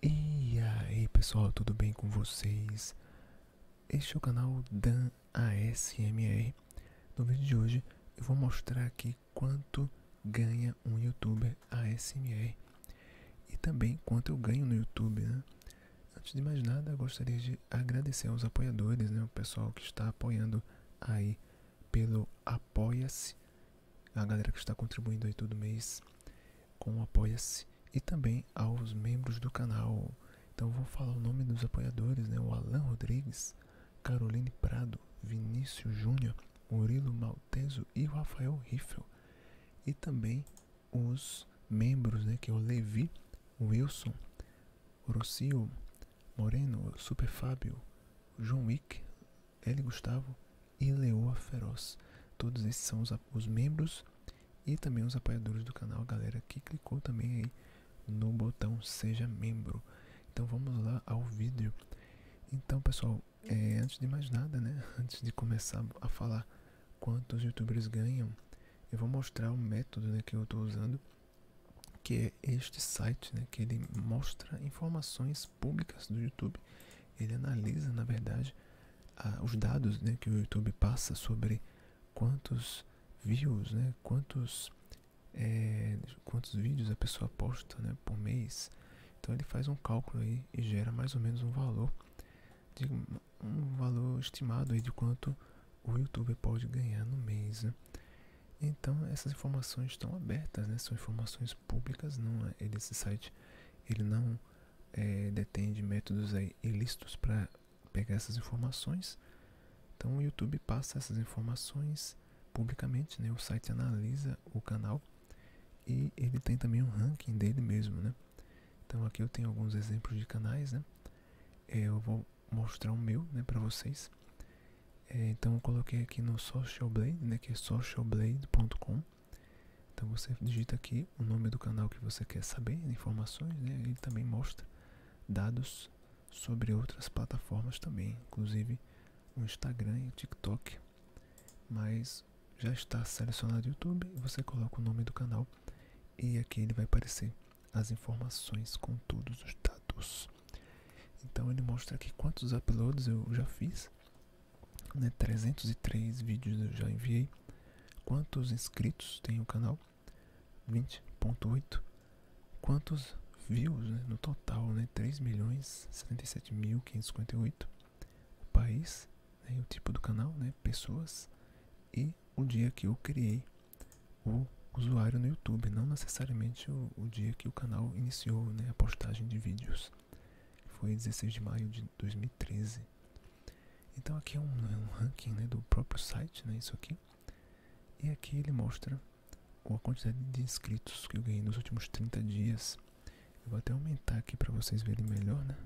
E aí pessoal, tudo bem com vocês? Este é o canal Dan ASMR. No vídeo de hoje eu vou mostrar aqui quanto ganha um youtuber ASMR e também quanto eu ganho no YouTube, né? Antes de mais nada, gostaria de agradecer aos apoiadores, né? O pessoal que está apoiando aí pelo Apoia-se a galera que está contribuindo aí todo mês com o Apoia-se e também aos membros do canal. Então vou falar o nome dos apoiadores, né? O Alan Rodrigues, Caroline Prado, Vinícius Júnior, Murilo Malteso e Rafael Riffel. E também os membros, né? Que é o Levi, Wilson, Rocio, Moreno, Super Fábio, João Wick, L. Gustavo e Leoa Feroz. Todos esses são os, membros e também os apoiadores do canal, galera que clicou também aí no botão Seja Membro. Então vamos lá ao vídeo. Então, pessoal, é, antes de mais nada, né? Antes de começar a falar quanto os youtubers ganham, eu vou mostrar o método né, que eu estou usando, que é este site, né? Que ele mostra informações públicas do YouTube ele analisa, na verdade, os dados né, que o YouTube passa sobre quantos views, né, quantos, é, quantos vídeos a pessoa posta né, por mês. Então ele faz um cálculo aí e gera mais ou menos um valor, um valor estimado aí de quanto o YouTube pode ganhar no mês. Né. Então essas informações estão abertas, né? são informações públicas, não é esse site ele não é, detém métodos aí ilícitos para pegar essas informações. Então o YouTube passa essas informações publicamente, né? O site analisa o canal e ele tem também um ranking dele mesmo, né? Então aqui eu tenho alguns exemplos de canais, né? É, eu vou mostrar o meu, né, para vocês. É, então eu coloquei aqui no Social Blade, né, que é socialblade.com. Então você digita aqui o nome do canal que você quer saber, informações, né? Ele também mostra dados sobre outras plataformas também, inclusive o Instagram e o TikTok. Mas já está selecionado o YouTube, você coloca o nome do canal e aqui ele vai aparecer as informações com todos os dados. Então ele mostra aqui quantos uploads eu já fiz né, 303 vídeos eu já enviei. Quantos inscritos tem o canal? 20.8. Quantos views né, no total? Né, 3 milhões 77.558. O país, né, o tipo do canal, né, pessoas e o dia que eu criei o usuário no YouTube, não necessariamente o, dia que o canal iniciou né, a postagem de vídeos. Foi 16 de maio de 2013. Então aqui é, é um, ranking né, do próprio site, né, isso aqui. E aqui ele mostra a quantidade de inscritos que eu ganhei nos últimos 30 dias. Eu vou até aumentar aqui para vocês verem melhor, né?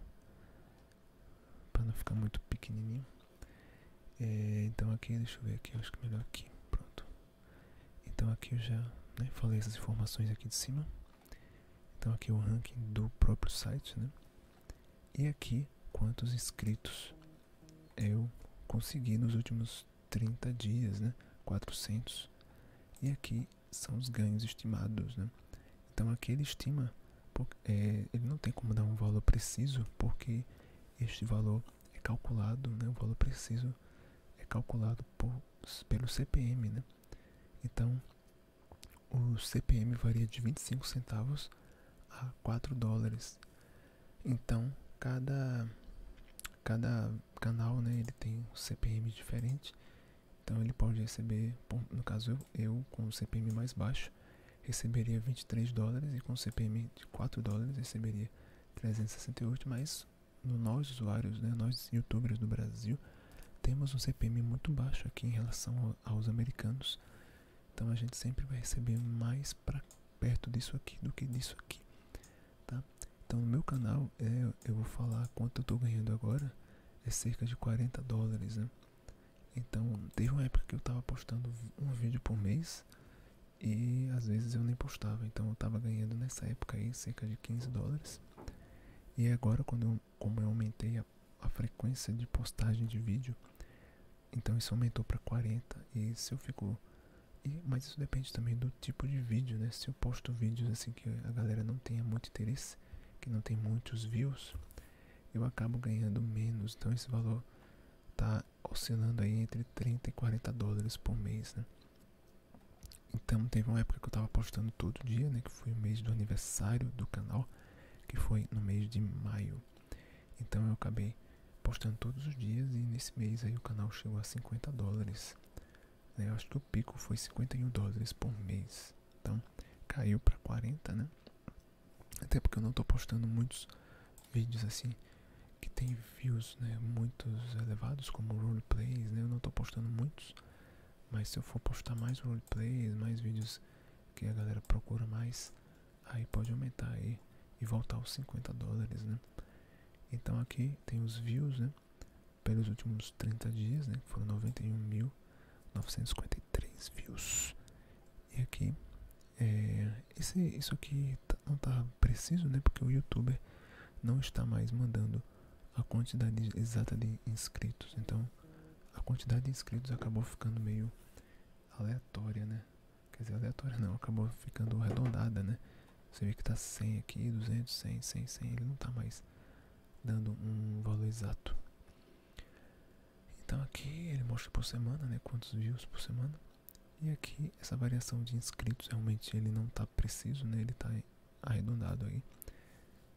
Para não ficar muito pequenininho. É, então aqui, deixa eu ver aqui, acho que é melhor aqui, pronto. Então aqui eu já né, falei essas informações aqui de cima. Então aqui é o ranking do próprio site, né? E aqui quantos inscritos eu consegui nos últimos 30 dias, né? 400. E aqui são os ganhos estimados, né? Então aqui ele estima, é, ele não tem como dar um valor preciso, porque este valor é calculado, né? O valor preciso é calculado por, pelo CPM, né? Então, o CPM varia de 25 centavos a 4 dólares. Então, cada cada canal, né, ele tem um CPM diferente. Então, ele pode receber, no caso eu, eu com o CPM mais baixo, receberia 23 dólares e com o CPM de 4 dólares receberia 368, mas nós, usuários, né, nós youtubers do Brasil, temos um CPM muito baixo aqui em relação aos americanos. Então a gente sempre vai receber mais para perto disso aqui do que disso aqui, tá? Então no meu canal é, eu vou falar quanto eu tô ganhando agora, é cerca de 40 dólares, né? Então teve uma época que eu tava postando um vídeo por mês e às vezes eu nem postava, então eu tava ganhando nessa época aí cerca de 15 dólares. E agora, quando como eu aumentei a, frequência de postagem de vídeo, então isso aumentou para 40. E se eu ficou E, mas isso depende também do tipo de vídeo, né? Se eu posto vídeos assim que a galera não tenha muito interesse, que não tem muitos views, eu acabo ganhando menos. Então esse valor tá oscilando aí entre 30 e 40 dólares por mês, né? Então teve uma época que eu tava postando todo dia, né? Que foi o mês do aniversário do canal, que foi no mês de maio. Então eu acabei postando todos os dias e nesse mês aí o canal chegou a 50 dólares. Né, eu acho que o pico foi 51 dólares por mês. Então caiu para 40, né? Até porque eu não tô postando muitos vídeos assim que tem views, né? Muitos elevados como roleplays, né? Eu não tô postando muitos. Mas se eu for postar mais roleplays, mais vídeos que a galera procura mais, aí pode aumentar aí e voltar aos 50 dólares, né? Então aqui tem os views, né? Pelos últimos 30 dias, né? Foram 91.953 views. E aqui, é, esse, isso aqui tá, não tá preciso, né? Porque o youtuber não está mais mandando a quantidade exata de inscritos. Então, a quantidade de inscritos acabou ficando meio aleatória, né? Quer dizer, aleatória não, acabou ficando arredondada, né? Você vê que tá 100 aqui, 200, 100, 100, 100, ele não tá mais dando um valor exato. Então aqui ele mostra por semana, né, quantos views por semana. E aqui essa variação de inscritos realmente ele não tá preciso, né? Ele tá arredondado aí,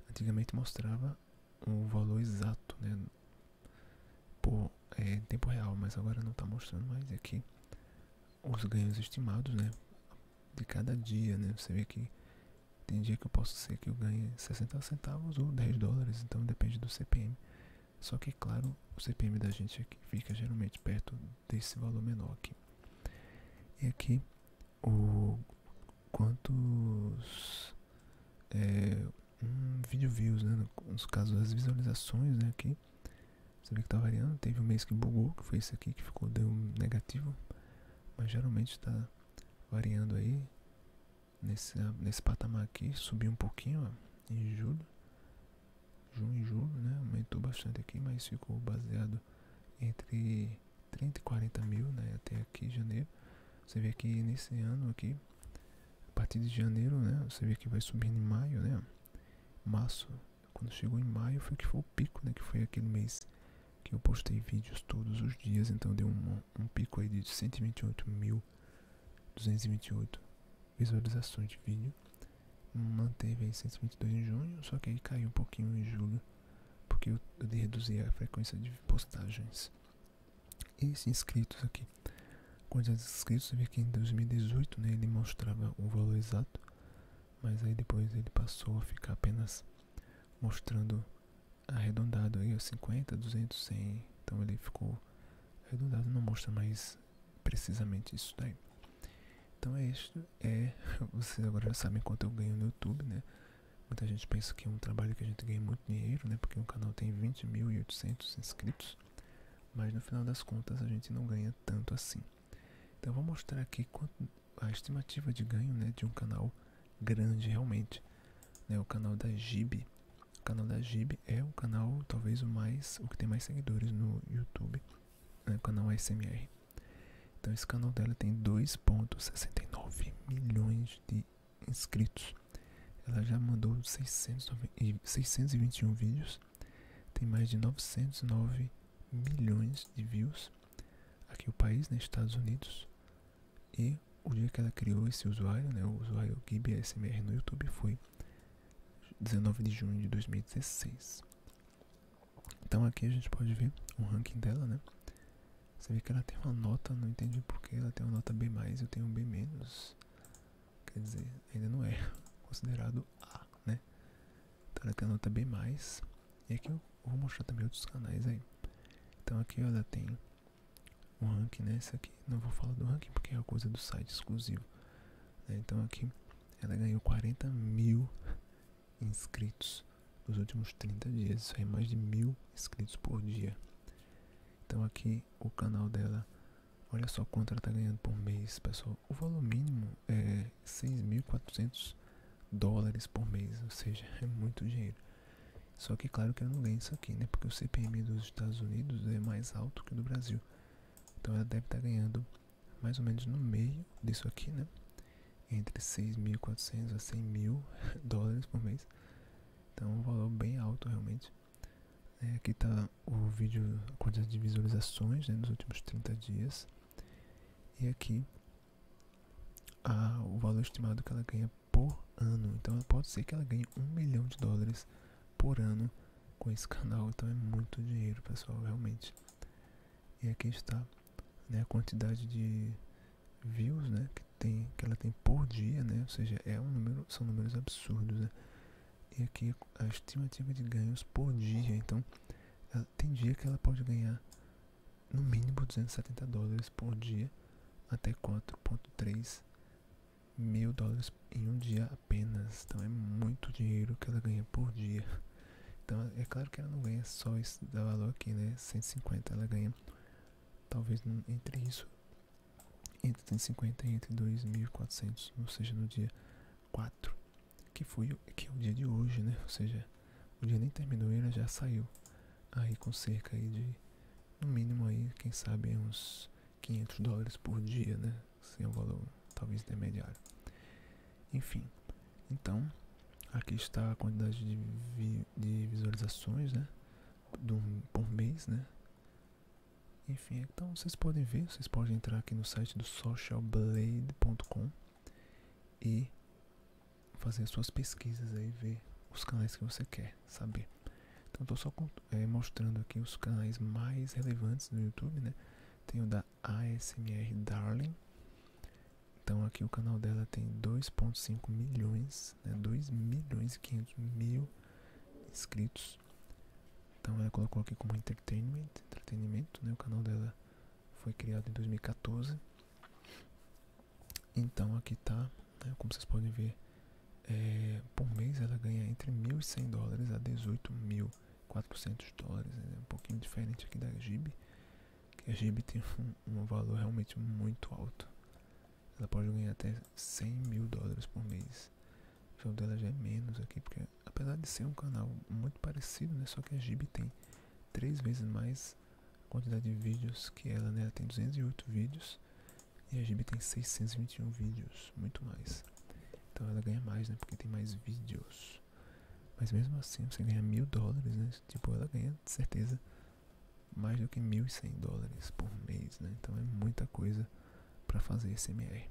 antigamente mostrava o valor exato, né? Por é, tempo real, mas agora não está mostrando mais aqui é os ganhos estimados, né? De cada dia, né? Você vê que tem dia que eu posso ser que eu ganhe 60 centavos ou 10 dólares, então depende do CPM. Só que, claro, o CPM da gente aqui é fica geralmente perto desse valor menor aqui. E aqui ou quantos é, um vídeo views, né? Nos casos as visualizações, né? Aqui você vê que tá variando. Teve um mês que bugou, que foi esse aqui que ficou deu um negativo, mas geralmente está variando aí nesse ah, nesse patamar aqui. Subiu um pouquinho em julho, junho e julho, né? Aumentou bastante aqui, mas ficou baseado entre 30 e 40 mil, né? Até aqui janeiro. Você vê que nesse ano aqui, a partir de janeiro, né? Você vê que vai subindo em maio, né? Março, quando chegou em maio foi que foi o pico, né? Que foi aquele mês que eu postei vídeos todos os dias, então deu um, pico aí de 128.228 visualizações de vídeo. Manteve aí 122 em junho, só que aí caiu um pouquinho em julho porque eu, de reduzi a frequência de postagens. Esses inscritos aqui, quantos inscritos eu vi que em 2018 né, ele mostrava o valor exato, mas aí depois ele passou a ficar apenas mostrando arredondado aí, 50, 200, 100, então ele ficou arredondado, não mostra mais precisamente isso daí. Então é isso. É, vocês agora já sabem quanto eu ganho no YouTube, né? Muita gente pensa que é um trabalho que a gente ganha muito dinheiro, né? Porque o canal tem 20.800 inscritos. Mas no final das contas a gente não ganha tanto assim. Então eu vou mostrar aqui a estimativa de ganho né, de um canal grande realmente. Né, o canal da Gib. canal da Gib é o canal talvez o mais. o que tem mais seguidores no YouTube. Né? canal ASMR. Então esse canal dela tem 2.69 milhões de inscritos. Ela já mandou 621 vídeos, tem mais de 909 milhões de views aqui no país, nos né, Estados Unidos. E o dia que ela criou esse usuário, né, o usuário GibSMR no YouTube, foi 19 de junho de 2016. Então aqui a gente pode ver o ranking dela, né? Você vê que ela tem uma nota, não entendi por que ela tem uma nota B+, eu tenho um B-, quer dizer, ainda não é considerado A, né? Então ela tem a nota B+, e aqui eu vou mostrar também outros canais aí. Então aqui ela tem o um ranking, né? aqui, não vou falar do ranking porque é uma coisa do site exclusivo. Né? Então aqui ela ganhou 40 mil inscritos nos últimos 30 dias. Isso é mais de mil inscritos por dia. Então aqui o canal dela, olha só quanto ela está ganhando por mês, pessoal. O valor mínimo é 6.400 dólares por mês, ou seja, é muito dinheiro. Só que claro que ela não ganha isso aqui, né? Porque o CPM dos Estados Unidos é mais alto que o do Brasil. Então ela deve estar tá ganhando mais ou menos no meio disso aqui, né? Entre 6.400 a 100 mil dólares por mês. Então, um valor bem alto realmente. É, aqui está o vídeo, a quantidade de visualizações né, nos últimos 30 dias. E aqui o valor estimado que ela ganha por ano. Então, pode ser que ela ganhe um milhão de dólares por ano com esse canal. Então, é muito dinheiro, pessoal, realmente. E aqui está né, a quantidade de views né, que, tem, que ela tem por dia, né, ou seja, é um número, são números absurdos. Né. E aqui a estimativa de ganhos por dia, então tem dia que ela pode ganhar no mínimo 270 dólares por dia até 4.3 mil dólares em um dia apenas. Então é muito dinheiro que ela ganha por dia. Então, é claro que ela não ganha só esse valor aqui, né? 150, ela ganha talvez entre isso, entre 150 e entre 2.400, ou seja, no dia 4, que foi que é o dia de hoje, né? Ou seja, o dia nem terminou e ela já saiu aí com cerca aí de, no mínimo aí, quem sabe uns 500 dólares por dia, né? Sem assim, é um valor talvez intermediário. Enfim, então, aqui está a quantidade de, visualizações, né? Do, por mês, né? Enfim, então vocês podem ver, vocês podem entrar aqui no site do socialblade.com e fazer suas pesquisas aí, ver os canais que você quer saber. Então estou só eh, mostrando aqui os canais mais relevantes do YouTube, né? Tem o da ASMR Darling, então aqui o canal dela tem 2.5 milhões, né? milhões e 500 mil inscritos. Então ela colocou aqui como entertainment, entretenimento, né? O canal dela foi criado em 2014. Então aqui tá, né? como vocês podem ver, é, por mês ela ganha entre 1.100 dólares a 18.400 dólares, né? um pouquinho diferente aqui da Gib que a Gibi tem um, valor realmente muito alto. Ela pode ganhar até 100 mil dólares por mês. Então, o jogo dela já é menos aqui, porque apesar de ser um canal muito parecido, né, só que a Gibi tem três vezes mais quantidade de vídeos que ela, né? Ela tem 208 vídeos e a Gibi tem 621 vídeos, muito mais. Então ela ganha mais, né? Porque tem mais vídeos. Mas mesmo assim você ganha mil dólares, né? Tipo, ela ganha de certeza mais do que mil e cem dólares por mês, né? Então é muita coisa para fazer esse MR.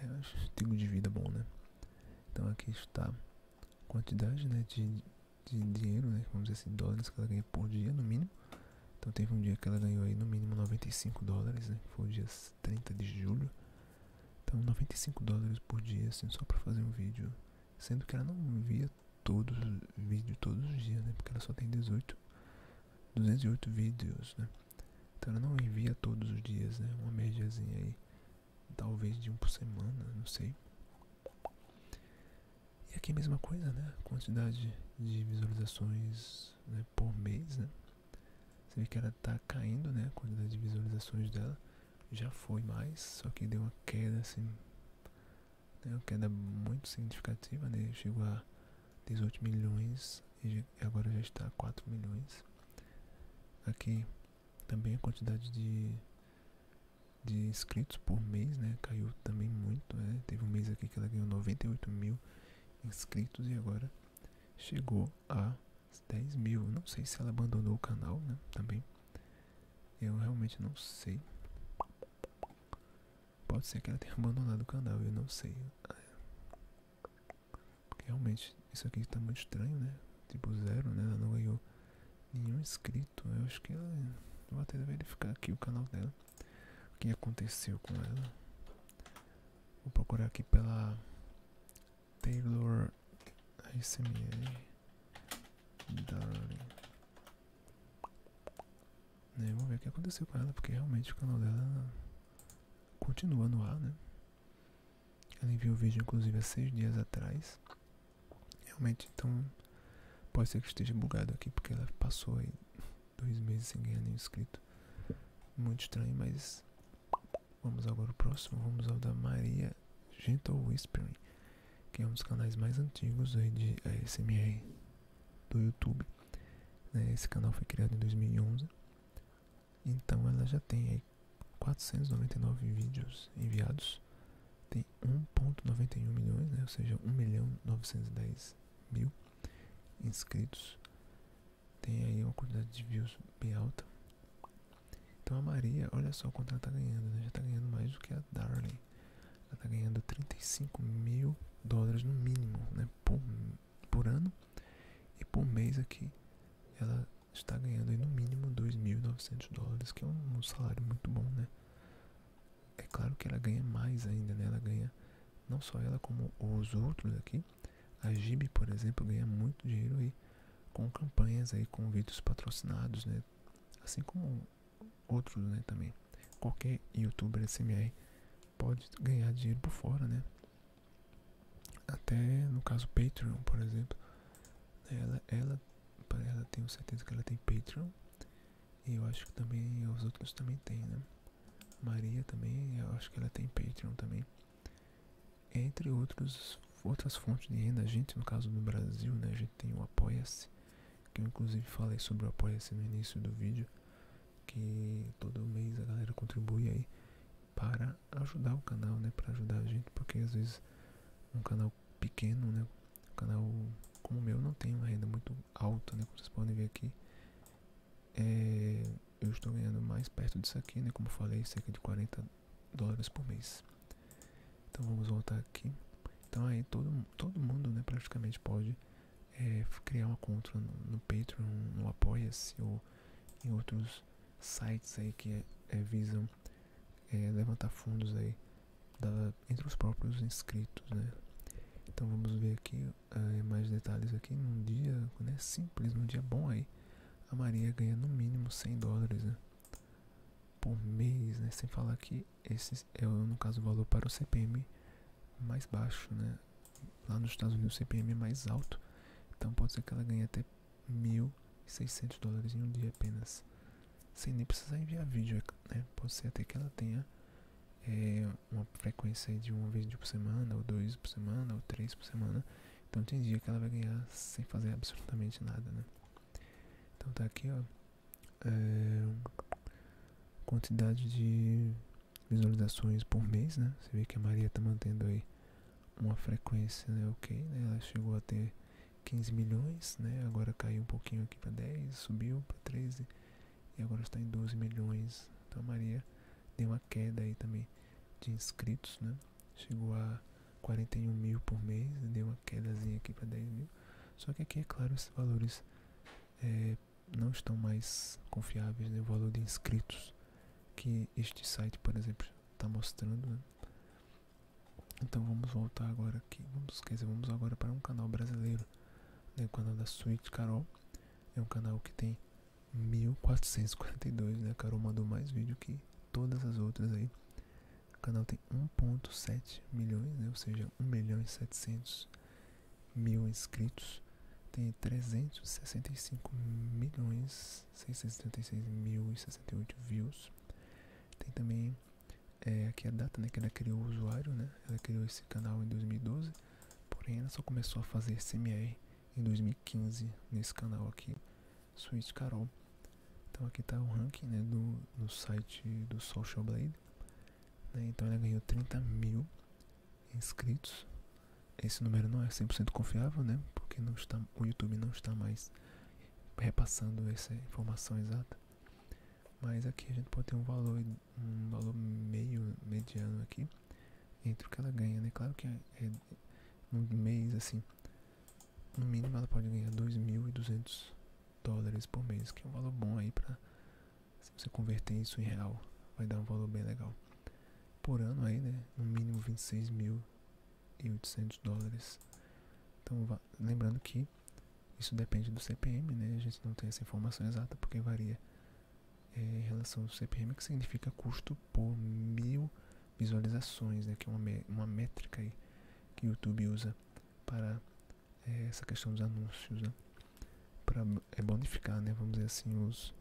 É um estilo de vida bom, né? Então aqui está a quantidade né, de, de dinheiro, né? Vamos dizer assim, dólares que ela ganha por dia, no mínimo. Então teve um dia que ela ganhou aí no mínimo 95 dólares, né? Foi o dia 30 de julho então 95 dólares por dia, assim, só pra fazer um vídeo. Sendo que ela não envia todos vídeo todos os dias, né? Porque ela só tem 18 208 vídeos, né? Então ela não envia todos os dias, né? Uma médiazinha aí, talvez de um por semana, não sei. E aqui a mesma coisa, né? Quantidade de visualizações né? por mês, né? Você vê que ela tá caindo, né? quantidade de visualizações dela já foi mais, só que deu uma queda assim, né, uma queda muito significativa, né? Chegou a 18 milhões e agora já está a 4 milhões. Aqui também a quantidade de, de inscritos por mês, né? Caiu também muito, né? Teve um mês aqui que ela ganhou 98 mil inscritos e agora chegou a 10 mil. Não sei se ela abandonou o canal, né? Também. Eu realmente não sei. Pode ser que ela tenha abandonado o canal, eu não sei. Porque realmente isso aqui tá muito estranho, né? Tipo zero, né? Ela não ganhou nenhum inscrito. Eu acho que ela. Vou até verificar aqui o canal dela. O que aconteceu com ela? Vou procurar aqui pela Taylor SMA Darling. Né, vamos ver o que aconteceu com ela, porque realmente o canal dela continua no ar, né? Ela enviou o vídeo inclusive há seis dias atrás. Realmente, então, pode ser que esteja bugado aqui, porque ela passou aí dois meses sem ganhar nenhum inscrito. Muito estranho, mas Vamos agora ao próximo, vamos ao da Maria Gentle Whispering, que é um dos canais mais antigos de ASMR eh, do YouTube. Né? Esse canal foi criado em 2011, então ela já tem 499 vídeos enviados, tem 1.91 milhões, né? ou seja, 1 milhão 910 mil inscritos, tem aí uma quantidade de views bem alta, então a Maria, olha só quanto ela está ganhando, né? Já está ganhando mais do que a Darling. Ela está ganhando 35 mil dólares no mínimo, né? Por, por ano e por mês aqui. Ela está ganhando aí no mínimo 2.900 dólares, que é um, salário muito bom, né? É claro que ela ganha mais ainda, né? Ela ganha, não só ela, como os outros aqui. A Gibi, por exemplo, ganha muito dinheiro aí com campanhas aí com vídeos patrocinados, né? Assim como outros, né, também. Qualquer youtuber SMR pode ganhar dinheiro por fora, né? Até no caso Patreon, por exemplo, ela ela ela tenho certeza que ela tem Patreon. E eu acho que também os outros também têm né? Maria também, eu acho que ela tem Patreon também. Entre outros, outras fontes de renda, a gente, no caso do Brasil, né, a gente tem o Apoia-se, que eu inclusive falei sobre o Apoia-se no início do vídeo, que todo mês a galera contribui aí para ajudar o canal, né, para ajudar a gente, porque às vezes um canal pequeno, né, um canal como o meu não tem uma renda muito alta, né, como vocês podem ver aqui, é, eu estou ganhando mais perto disso aqui, né, como eu falei, cerca de 40 dólares por mês. Então vamos voltar aqui. Então aí todo, todo mundo né, praticamente pode é, criar uma conta no, Patreon, no Apoia-se ou em outros sites aí que é, visam é, levantar fundos aí entre os próprios inscritos, né? Então vamos ver aqui mais detalhes aqui num dia né, simples, num dia bom aí a Maria ganha no mínimo 100 dólares né? por mês, né? Sem falar que esse é, no caso, o valor para o CPM mais baixo, né? Lá nos Estados Unidos o CPM é mais alto, então pode ser que ela ganhe até 1.600 dólares em um dia apenas, sem nem precisar enviar vídeo, é, né? Pode ser até que ela tenha eh, uma frequência de um vídeo por semana, ou dois por semana, ou três por semana, então tem dia que ela vai ganhar sem fazer absolutamente nada, né? Então tá aqui, ó. É, quantidade de visualizações por mês, né? Você vê que a Maria tá mantendo aí uma frequência, né? Ok, né? Ela chegou a ter 15 milhões, né? Agora caiu um pouquinho aqui para 10, subiu para 13 e agora está em 12 milhões. Então a Maria deu uma queda aí também de inscritos, né? chegou a 41 mil por mês, deu uma quedazinha aqui para 10 mil. Só que aqui, é claro, esses valores é, não estão mais confiáveis, né? o valor de inscritos que este site, por exemplo, está mostrando. Né? Então vamos voltar agora aqui, vamos, quer vamos agora para um canal brasileiro, né? o canal da Suíte Carol, é um canal que tem 1442, né? A Carol mandou mais vídeo que todas as outras aí. O canal tem 1.7 milhões, né? ou seja, 1 milhão e 700 mil inscritos. Tem 365 milhões 636 mil e 68 views. Tem também é, aqui a data né, que ela criou o usuário, né? Ela criou esse canal em 2012, porém ela só começou a fazer CMR em 2015 nesse canal aqui. Sweet Carol. Então aqui está o ranking né, do, do site do Social Blade. Né, então ela ganhou 30 mil inscritos. Esse número não é 100% confiável, né? Porque não está, o YouTube não está mais repassando essa informação exata. Mas aqui a gente pode ter um valor, um valor meio mediano aqui entre o que ela ganha, né? Claro que é, é um no mês assim no mínimo ela pode ganhar 2.200 dólares por mês, que é um valor bom aí para se você converter isso em real, vai dar um valor bem legal. Por ano aí, né? No mínimo 26.800 dólares. Então, lembrando que isso depende do CPM, né? A gente não tem essa informação exata porque varia eh, em relação ao CPM, que significa custo por mil visualizações, né, que é uma, uma métrica aí que o YouTube usa para eh, essa questão dos anúncios, né? para é, bonificar, né, vamos dizer assim, os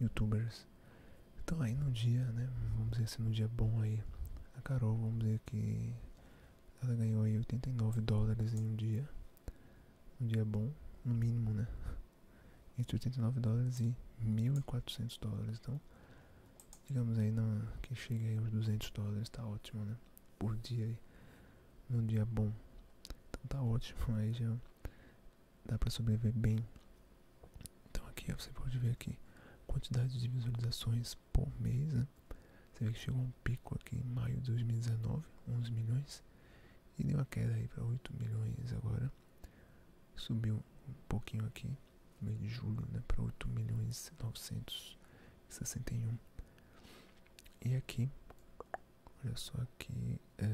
YouTubers. Então aí no dia, né, vamos dizer assim, no dia bom aí, a Carol, vamos dizer que ela ganhou aí 89 dólares em um dia, um dia bom, no mínimo, né, entre 89 dólares e 1.400 dólares. Então, digamos aí na, que chega aí aos 200 dólares, tá ótimo, né? Por dia aí, num dia bom. Então tá ótimo, aí já dá pra sobreviver bem. Então aqui você pode ver aqui, quantidade de visualizações por mês, né? Você vê que chegou um pico aqui em maio de 2019, 11 milhões. E deu uma queda aí para 8 milhões agora. Subiu um pouquinho aqui, no de julho, né, para 8 milhões e 961. E aqui, olha só aqui, é,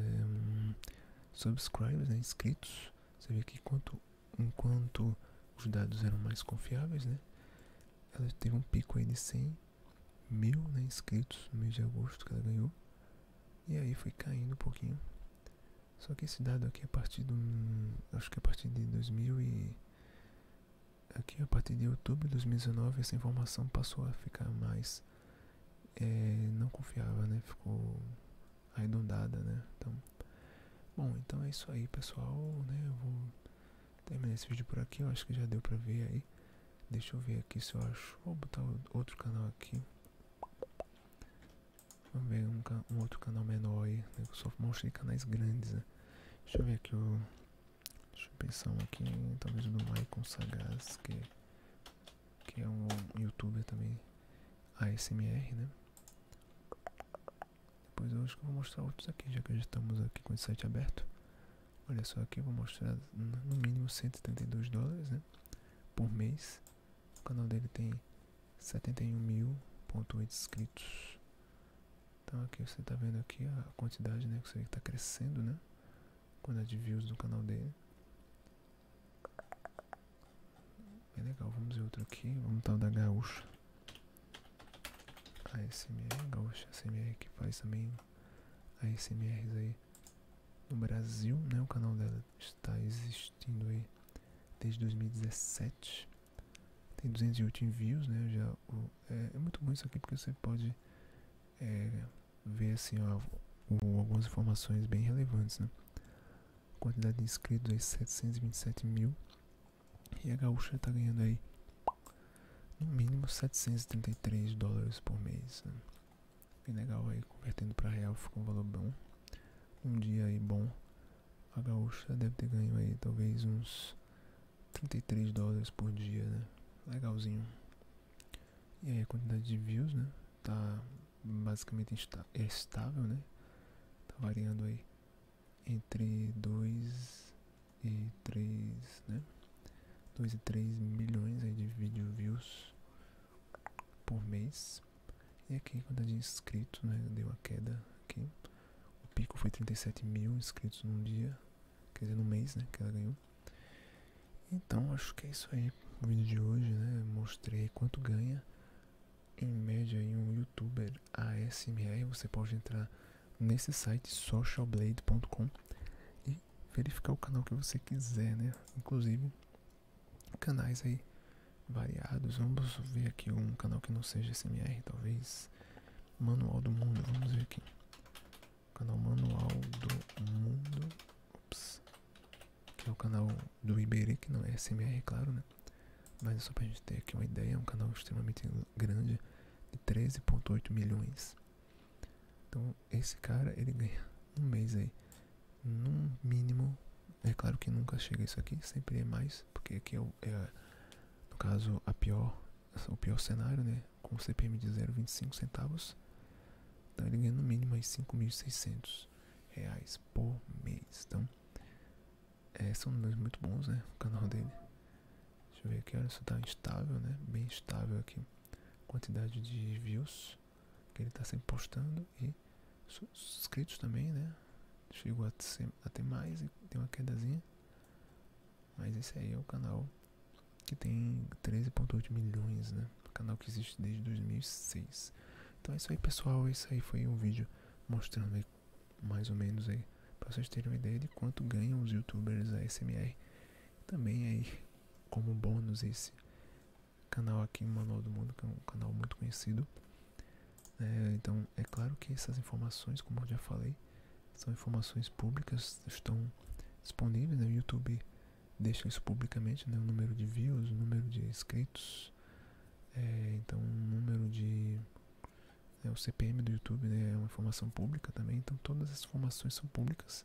subscribers, né, inscritos, você vê que quanto, enquanto os dados eram mais confiáveis, né, ela teve um pico aí de 100 mil né, inscritos no mês de agosto que ela ganhou. E aí foi caindo um pouquinho. Só que esse dado aqui é a partir do. Hum, acho que é a partir de 2000 e. Aqui é a partir de outubro de 2019 essa informação passou a ficar mais. não confiável, né? Ficou arredondada, né? Então. Bom, então é isso aí, pessoal, né? vou terminar esse vídeo por aqui. Eu acho que já deu pra ver aí. Deixa eu ver aqui se eu acho. Vou botar outro canal aqui. Vamos ver um, outro canal menor aí. Né? Eu só mostro canais grandes, né? Deixa eu ver aqui o. Deixa eu pensar aqui, talvez o do Maicon Sagaz, que, que é um youtuber também ASMR, né? Depois eu acho que eu vou mostrar outros aqui, já que já estamos aqui com esse site aberto. Olha só aqui, eu vou mostrar no mínimo 132 dólares, né? Por mês. O canal dele tem 71 mil ponto inscritos. Então aqui você está vendo aqui a quantidade, né? Que está crescendo, né? Quantidade é de views do canal dele. É legal, vamos ver outro aqui. Vamos tal da Gaúcha. A SMR, Gaúcha SMR que faz também ASMRs aí no Brasil, né? O canal dela está existindo aí desde 2017. Tem 208 envios, né? Já, é, é, muito bom isso aqui porque você pode é, ver assim, ó, algumas informações bem relevantes, né? Quantidade de inscritos aí 727 mil. E a gaúcha está ganhando aí no mínimo 733 dólares por mês. Né? Bem legal aí, convertendo para real ficou um valor bom um dia aí bom. A gaúcha deve ter ganho aí talvez uns 33 dólares por dia, né? Legalzinho. E aí a quantidade de views, né? Tá basicamente está estável, né? Tá variando aí entre 2 e 3, né? 2 e 3 milhões aí de vídeo views por mês. E aqui, quantidade de é inscritos né, deu uma queda aqui. O pico foi 37 mil inscritos num dia, quer dizer, no mês, né, que ela ganhou. Então, acho que é isso aí. O vídeo de hoje, né, mostrei quanto ganha em média em um youtuber ASMR. Você pode entrar nesse site socialblade.com e verificar o canal que você quiser, né? Inclusive, canais aí variados. Vamos ver aqui um canal que não seja SMR, talvez. Manual do Mundo, vamos ver aqui. Canal Manual do Mundo. Que é o canal do Iberê, que não é SMR, claro, né? Mas é só pra gente ter aqui uma ideia, é um canal extremamente grande, de 13.8 milhões. Então esse cara ele ganha um mês aí num mínimo, é claro que nunca chega isso aqui, sempre é mais, porque aqui é, o, é no caso a pior, o pior cenário, né, com o CPM de 0,25 centavos, então ele ganha no mínimo aí 5.600 reais por mês, então é, são números muito bons, né, o canal dele. Deixa eu ver aqui, olha, isso tá instável, né, bem estável aqui, quantidade de views, que ele está sempre postando e inscritos também, né? Chegou a, ter mais e tem uma quedazinha. Mas esse aí é o canal que tem 13.8 milhões, né? canal que existe desde 2006. Então é isso aí, pessoal. Esse aí foi um vídeo mostrando mais ou menos aí para vocês terem uma ideia de quanto ganham os youtubers ASMR. Também aí como bônus esse canal aqui, Manual do Mundo, que é um canal muito conhecido. É, então, é claro que essas informações, como eu já falei, são informações públicas, estão disponíveis. Né? O YouTube deixa isso publicamente, né? o número de views, o número de inscritos, é, então o número de... Né? o CPM do YouTube né? é uma informação pública também, então todas as informações são públicas,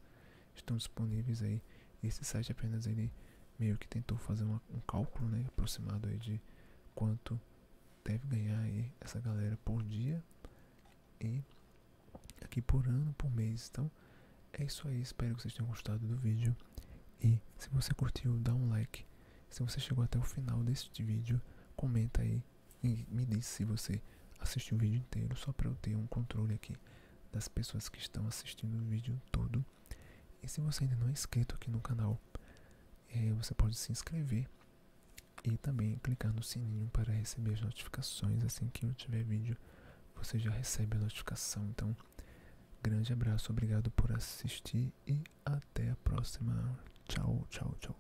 estão disponíveis aí esse site apenas ele meio que tentou fazer um cálculo, né, aproximado aí de quanto deve ganhar aí essa galera por dia e aqui por ano, por mês. Então é isso aí, espero que vocês tenham gostado do vídeo e se você curtiu, dá um like. Se você chegou até o final deste vídeo, comenta aí e me diz se você assistiu o vídeo inteiro, só para eu ter um controle aqui das pessoas que estão assistindo o vídeo todo e se você ainda não é inscrito aqui no canal, eh, você pode se inscrever e também clicar no sininho para receber as notificações. Assim que eu tiver vídeo, você já recebe a notificação. Então, grande abraço, obrigado por assistir e até a próxima. Tchau, tchau, tchau.